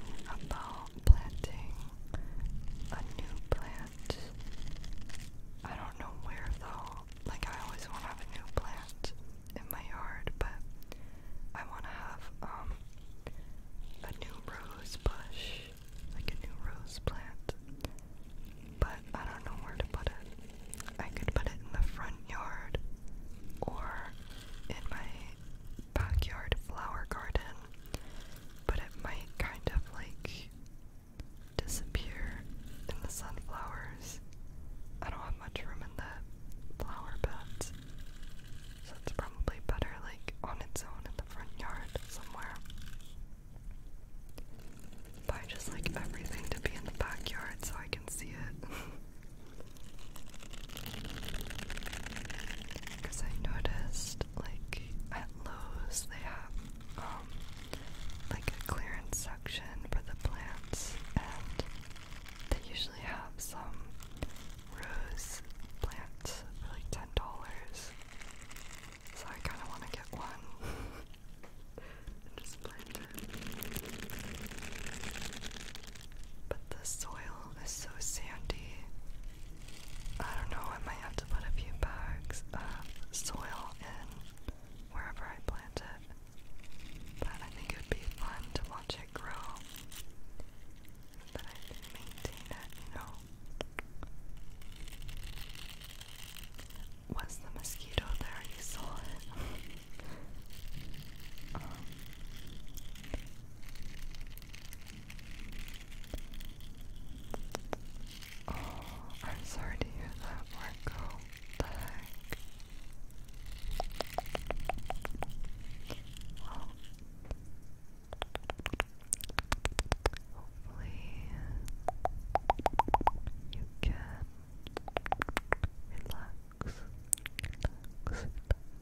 about planting a new plant. I don't know where though. Like I always want to have a new plant in my yard, but I want to have um a new rose bush, like a new rose plant. But I don't know where to put it. I could put it in the front yard or in my backyard flower garden, but it might kind of like disappear in the sunflowers. I don't have much room in the flower beds, so it's probably better like on its own in the front yard somewhere. But I just like everything to be in the backyard so I can see it. Because I noticed, like, at Lowe's, they have, um, like a clearance section for the plants, and they usually have some rose plants for like $10. So I kind of want to get one and just plant it. But the soil is so sandy I don't know, I might have to put a few bags of soil in wherever I plant it. But I think it would be fun to watch it grow. But I can maintain it, you know. Was the mosquito there? You saw it. Um, Oh, I'm sorry to hear that, Marco. The heck? Well, hopefully you can relax,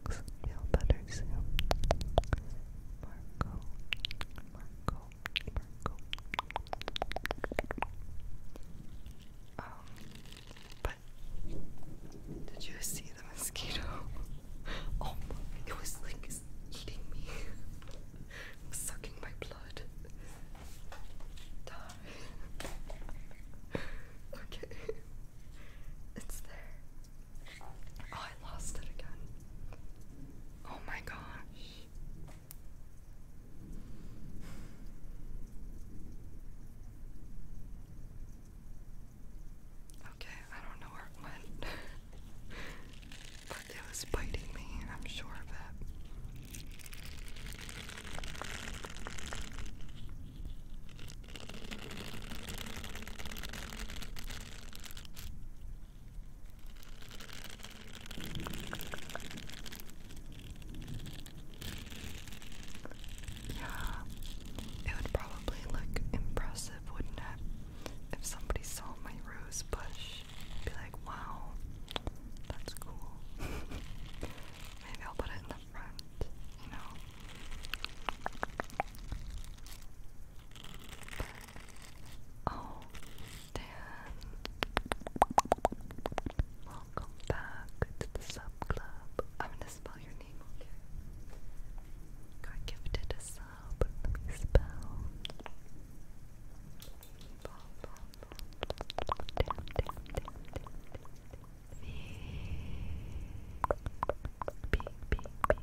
relax. Feel better Marco, Marco, Marco. Um, but did you see the mosquito? oh, it was like eating me, sucking my blood. okay, it's there. Oh, I lost it again. Oh my gosh. Okay, I don't know where it went. but it was biting me, I'm sure of it. Yeah, it would probably look impressive, wouldn't it? If somebody saw my rose bush, be like, wow, that's cool. Maybe I'll put it in the front, you know? Oh, Dan. Welcome back to the sub club. I'm gonna spell your name, okay? gifted a sub. Let me spell. B, B, B,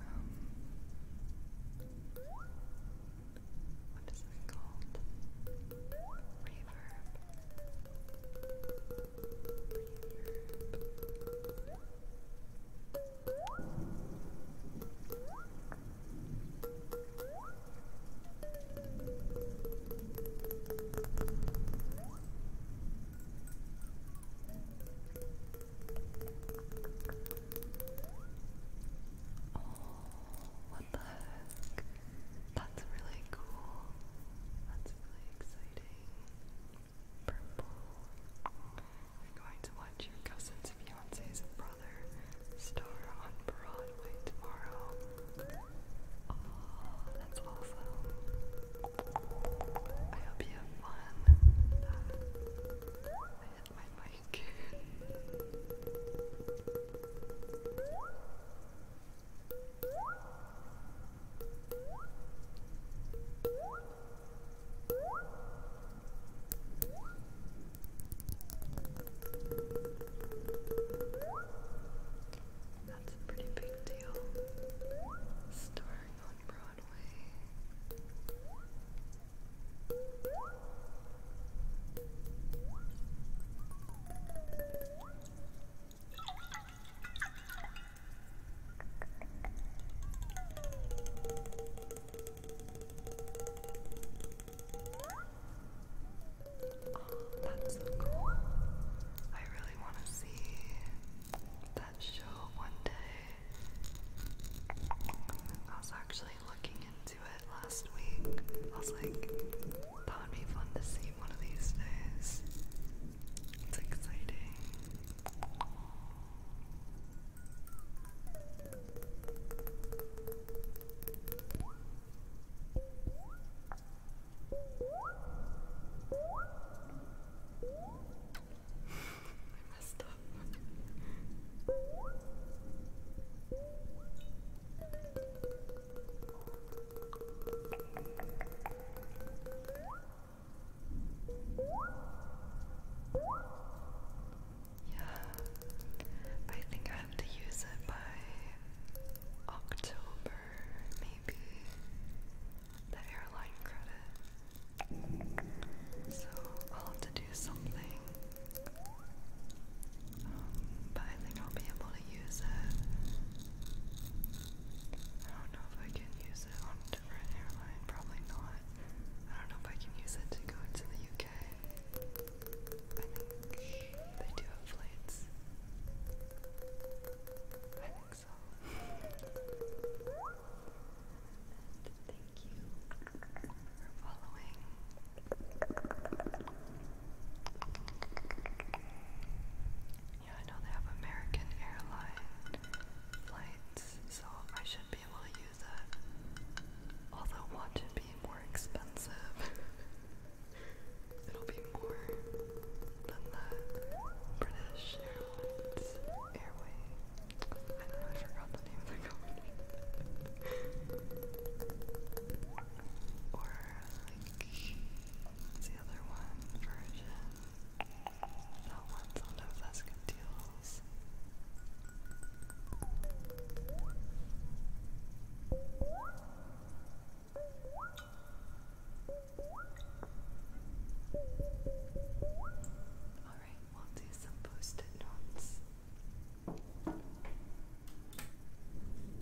um, what is it called? Reverb. Oh, what the heck? That's really cool. That's really exciting. Purple. We're going to watch your cousin's fiance's brother star on Broadway tomorrow. Oh, that's awesome. I hope you have fun. I hit my mic. That's a pretty big deal. Starring on Broadway. Oh, that's so cool. I really want to see that show one day. I was actually looking into it last week. I was like, that would be fun to see one of these days. It's exciting. I messed up. Yeah, I think I have to use it by October, maybe the airline credit. So I'll have to do something. Um, but I think I'll be able to use it. I don't know if I can use it on a different airline, probably not. I don't know if I can use it to go to the UK. I think they do have flights thank you Yeah, I know they have American airline flights, so I should be able to use it. Although watch it be more expensive. It'll be more than the British Airlines airway. I know, I forgot the name of the company. or, like, the other one? Version. That one's on deals. Alright, we'll do some post-it notes.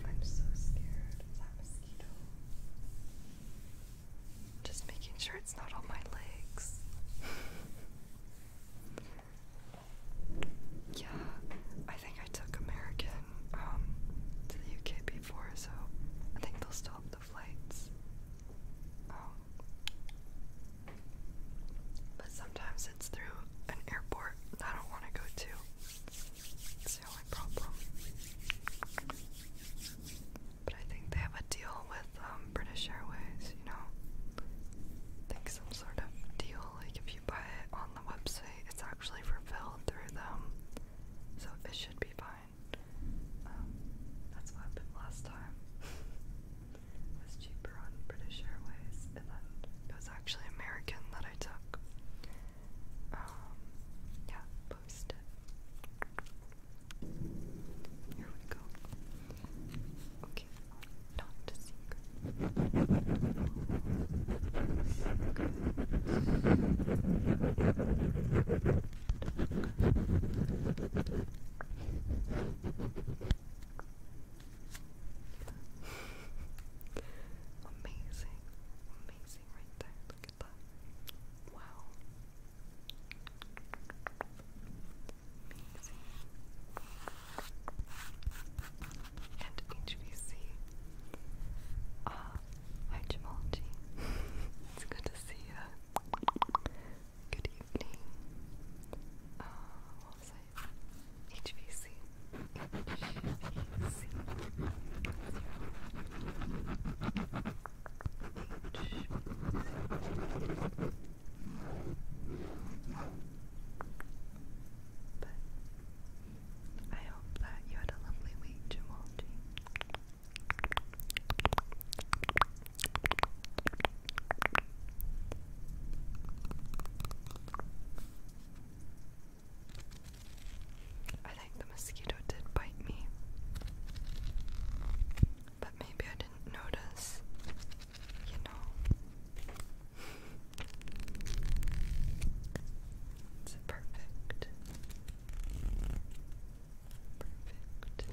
I'm so scared of that mosquito. Just making sure it's not on my legs. Um, yeah, I think I took American um, to the UK before, so I think they'll stop the flights. Um, but sometimes it's through an airport I don't want to go to. It's the only problem. But I think they have a deal with um, British Airways, you know? I think some sort of deal, like if you buy it on the website, it's actually fulfilled through them. So it should be fine. Um, that's what happened last time. was cheaper on British Airways, and then it was actually American that I took. Um, yeah, Here we go. Okay, not secret amazing, amazing right there. Look at that. Wow. Amazing. And HVC. Ah, uh, it's good to see you. Good evening. Uh, But I hope that you had a lovely week, Jamalji. I think the mosquito did bite me, but maybe I didn't notice, you know. it's perfect. Perfect.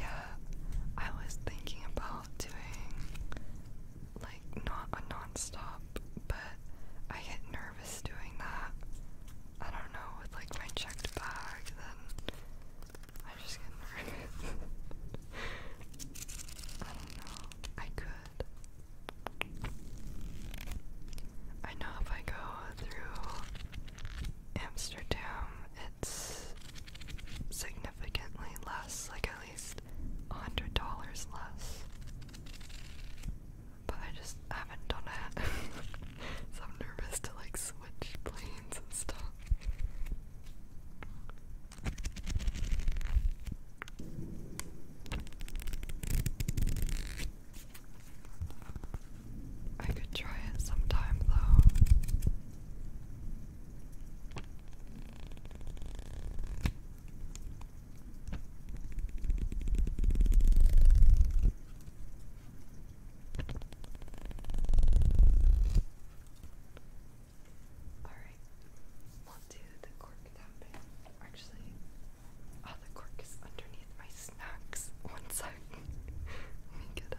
yeah, I was thinking about doing like not a non-stop, but I get nervous doing that. I don't know, with like my checked bag, then I just get nervous. I don't know. I could. I know if I go through Amsterdam, it's significantly less, like at least $100 less. But I just haven't done it. so I'm nervous to like switch planes and stuff. I could try it sometime though. All right, do the cork tapping. Actually, oh, the cork is underneath my snacks. One sec. Let me get it.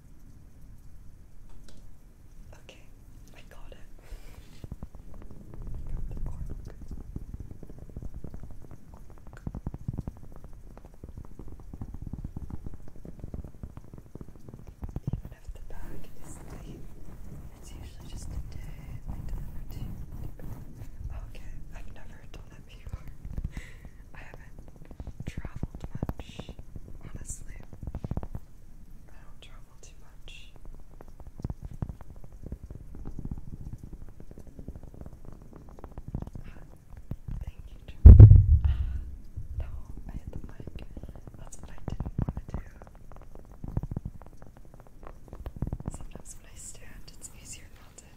Okay, I got it. Got Even if the bag is late, it's usually just a day I deliver Okay, I've never done it before. I haven't traveled much honestly. I don't travel too much. Thank you, Trevor. Ah, no, I hit the mic. That's what I didn't want to do. Sometimes when I stand, it's easier not to hit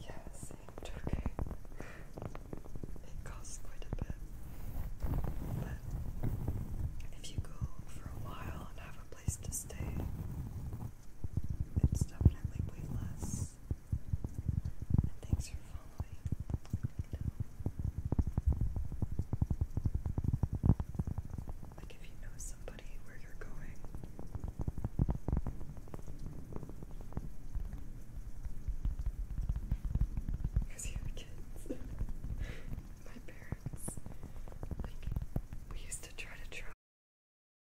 Yeah, same turkey. It costs quite a bit. But if you go for a while and have a place to stay, it's definitely way less. And thanks following. Like if you know somebody where you're going. Because you have kids. My parents. Like we used to try to travel